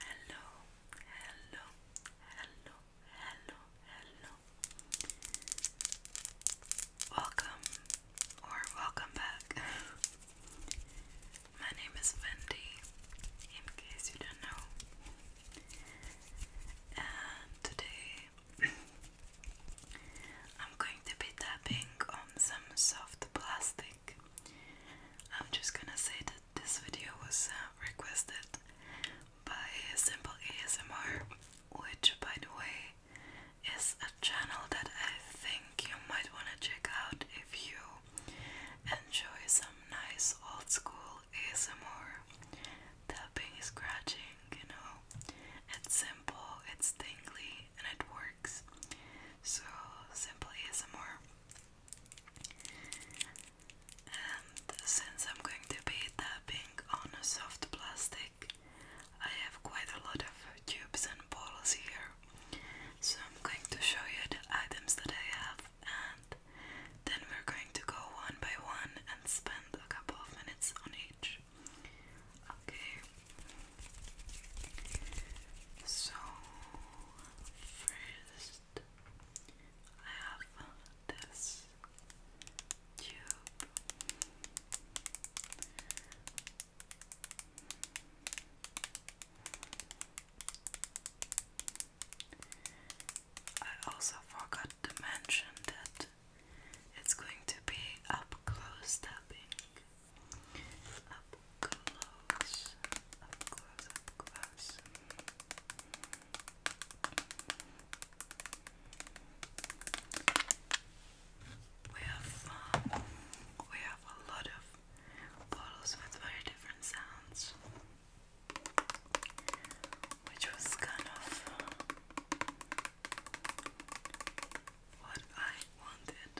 Hello, hello, hello, hello, hello. Welcome or welcome back. My name is Wendy, in case you don't know. And today I'm going to be tapping on some soft plastic. I'm just gonna say that this video was uh, requested by Simple ASMR, which, by the way, is a channel that I think you might want to check out if you enjoy some nice old school ASMR tapping, scratching, you know. It's simple, it's tingly, and it works. So, simple ASMR. And since I'm going to be tapping on a soft plastic, I have quite a lot of tubes and bottles here. So, I'm going to show you the items that I have, and then we're going to go one by one and spend a couple of minutes on each. Okay. So first I have this tube. I also forgot to mention that it's going to be up close tapping. Up close, up close, up close. We have um, we have a lot of bottles with very different sounds, which was kind of what I wanted.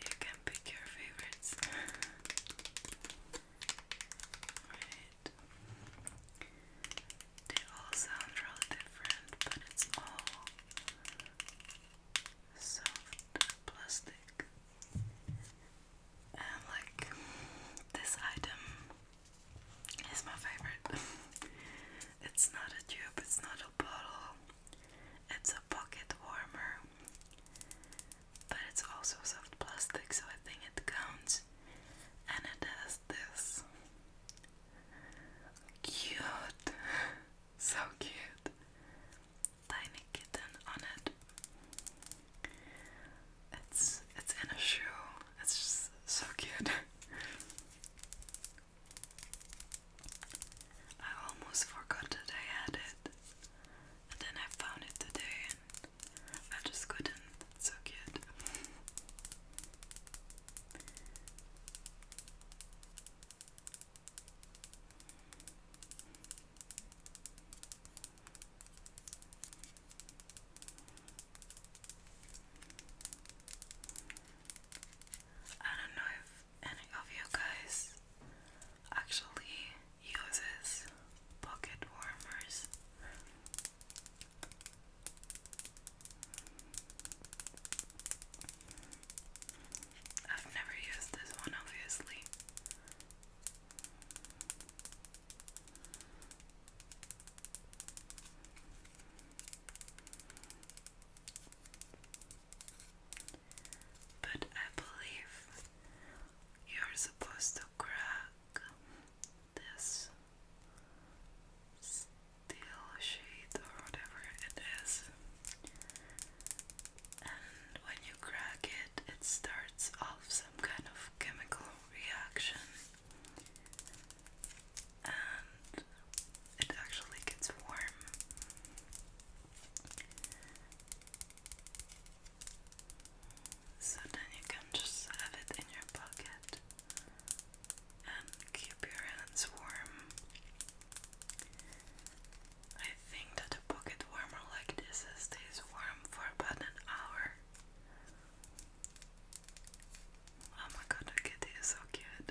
You can pick your favorites. right. They all sound really different, but it's all soft plastic. And like this item is my favorite. it's not a tube, it's not a bottle, it's a pocket warmer. But it's also soft plastic, so I think it counts. And it has this cute, so cute tiny kitten on it. It's it's in a shoe. It's so cute. I almost forgot that I had it. And then I found it today I just couldn't. so cute. I don't know if any of you guys actually uses pocket warmers. I've never used this one, obviously. But I believe you're supposed to crack this steel sheet or whatever it is and when you crack it, it starts off some kind of chemical reaction. And it actually gets warm. So then you can just have it in your pocket and keep your hands warm. I think that a pocket warmer like this stays warm for about an hour. Oh my god, the kitty is so cute.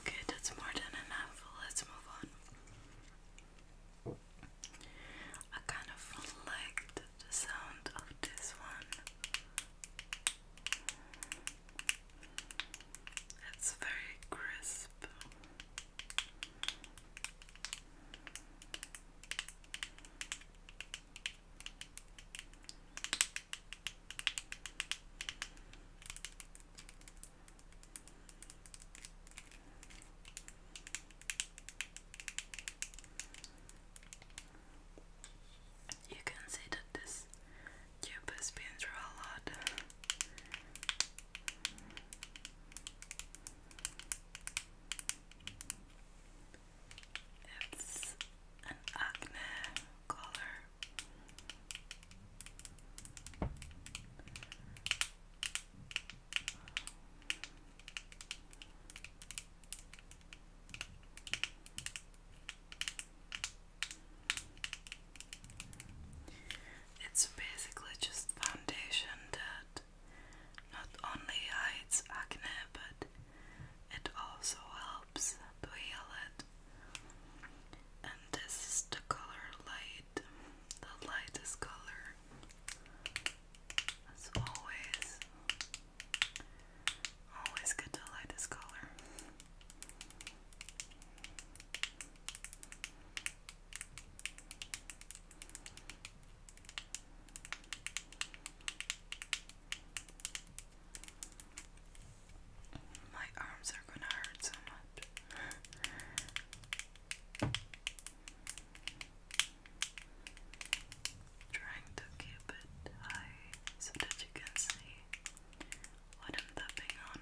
Okay, that's more than enough. Let's move on. I kind of liked the sound of this one. It's very crisp. You can see that this tube has been through a lot. It's an acne color. It's basically just foundation that not only hides acne but it also helps to heal it and this is the color light, the lightest color, as always. Always get the lightest color. My arms are gonna hurt so much. Trying to keep it high so that you can see what I'm tapping on.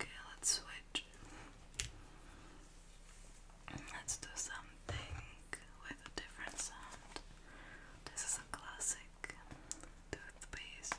Okay, let's switch. Let's do something with a different sound. This is a classic toothpaste.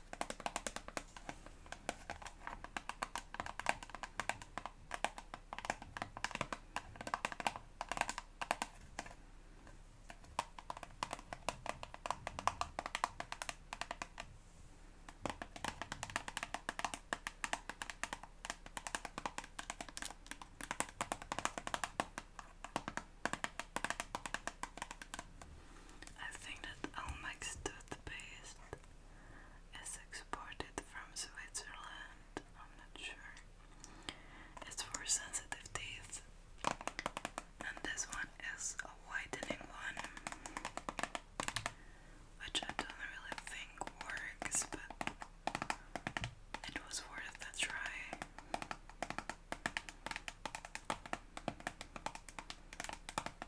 I think that Elmex did the best is exported from Switzerland. I'm not sure. It's for sensitive teeth. And this one is a whitening one, which I don't really think works, but it was worth a try.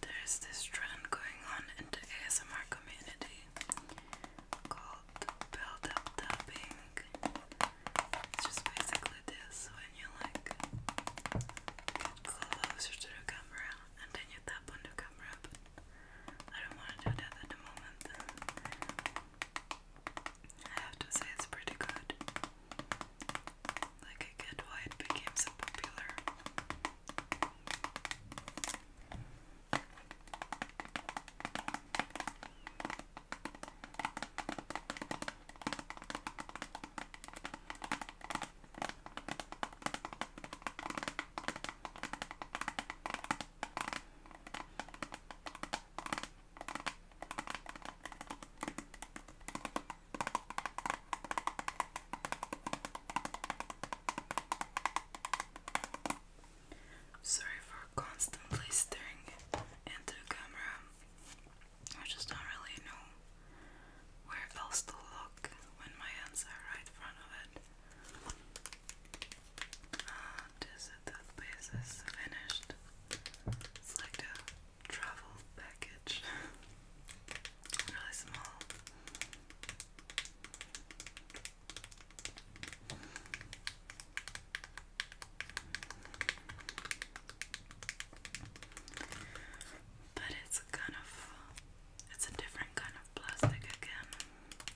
There's this trend going on in the ASMR community called build up tapping. It's just basically this when you like get closer to the camera and then you tap on the camera, I don't want to do that at the moment. I have to say it's pretty good. Like I get why became so popular. Sorry for constantly staring into the camera. I just don't really know where else to look when my hands are right in front of it. And is that this is finished? It's travel package. really small. But it's kind of, it's a different kind of plastic again.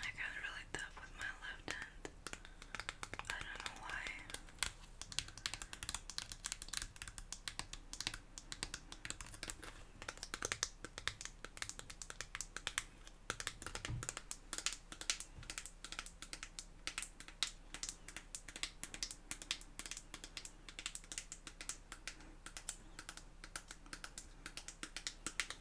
I got really tough with my left hand. I don't know why.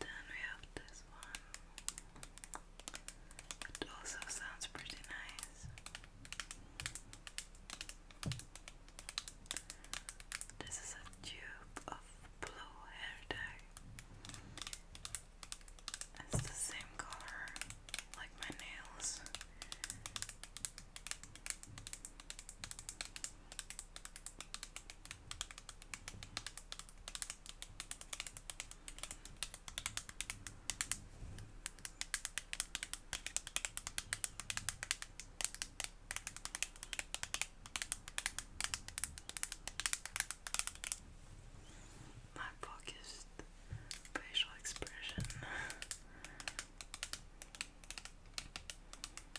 Then we have this one. It also sounds pretty nice. This is a tube of blue hair dye. It's the same color like my nails. My focused facial expression.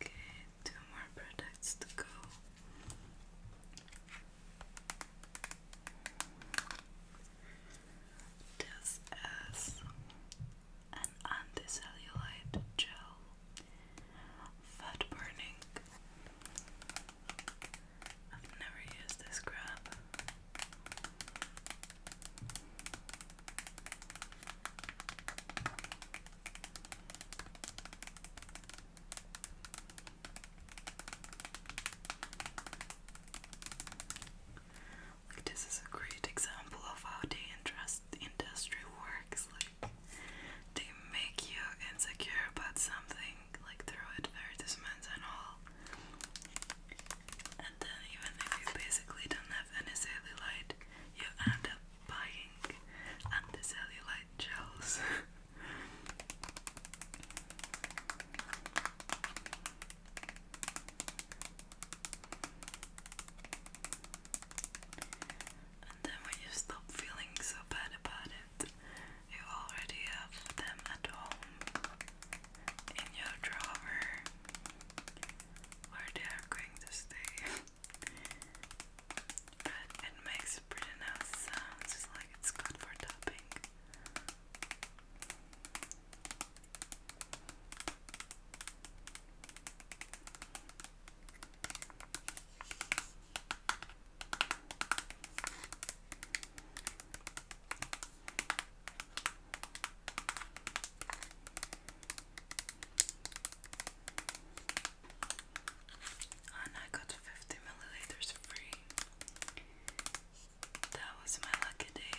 Okay, two more products to go. This is an anticellulite gel, fat burning. I've never used this scrub. Like this is a great example of how the industry works. Like they make you insecure about something, like through advertisements and all. And then even if you basically don't have any cellulite, you end up buying anti-cellulite gels. and then when you stop feeling so bad about it, you already have them at home in your drawer where they are going to stay. but it makes pretty nice sounds, it's like it's good for tapping. And I got 50 milliliters free. That was my lucky day.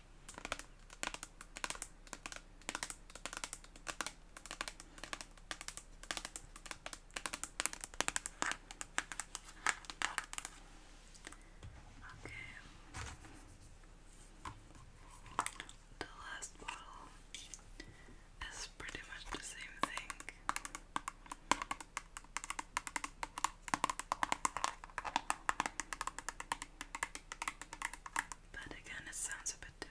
The last bottle is pretty much the same thing. But again, it sounds a bit different.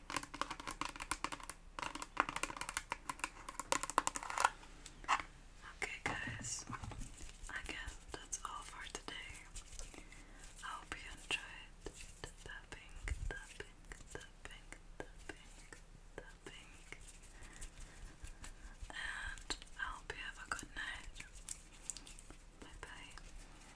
Okay, guys, again, that's all for today. I hope you enjoyed And I hope you have a good night. Bye bye.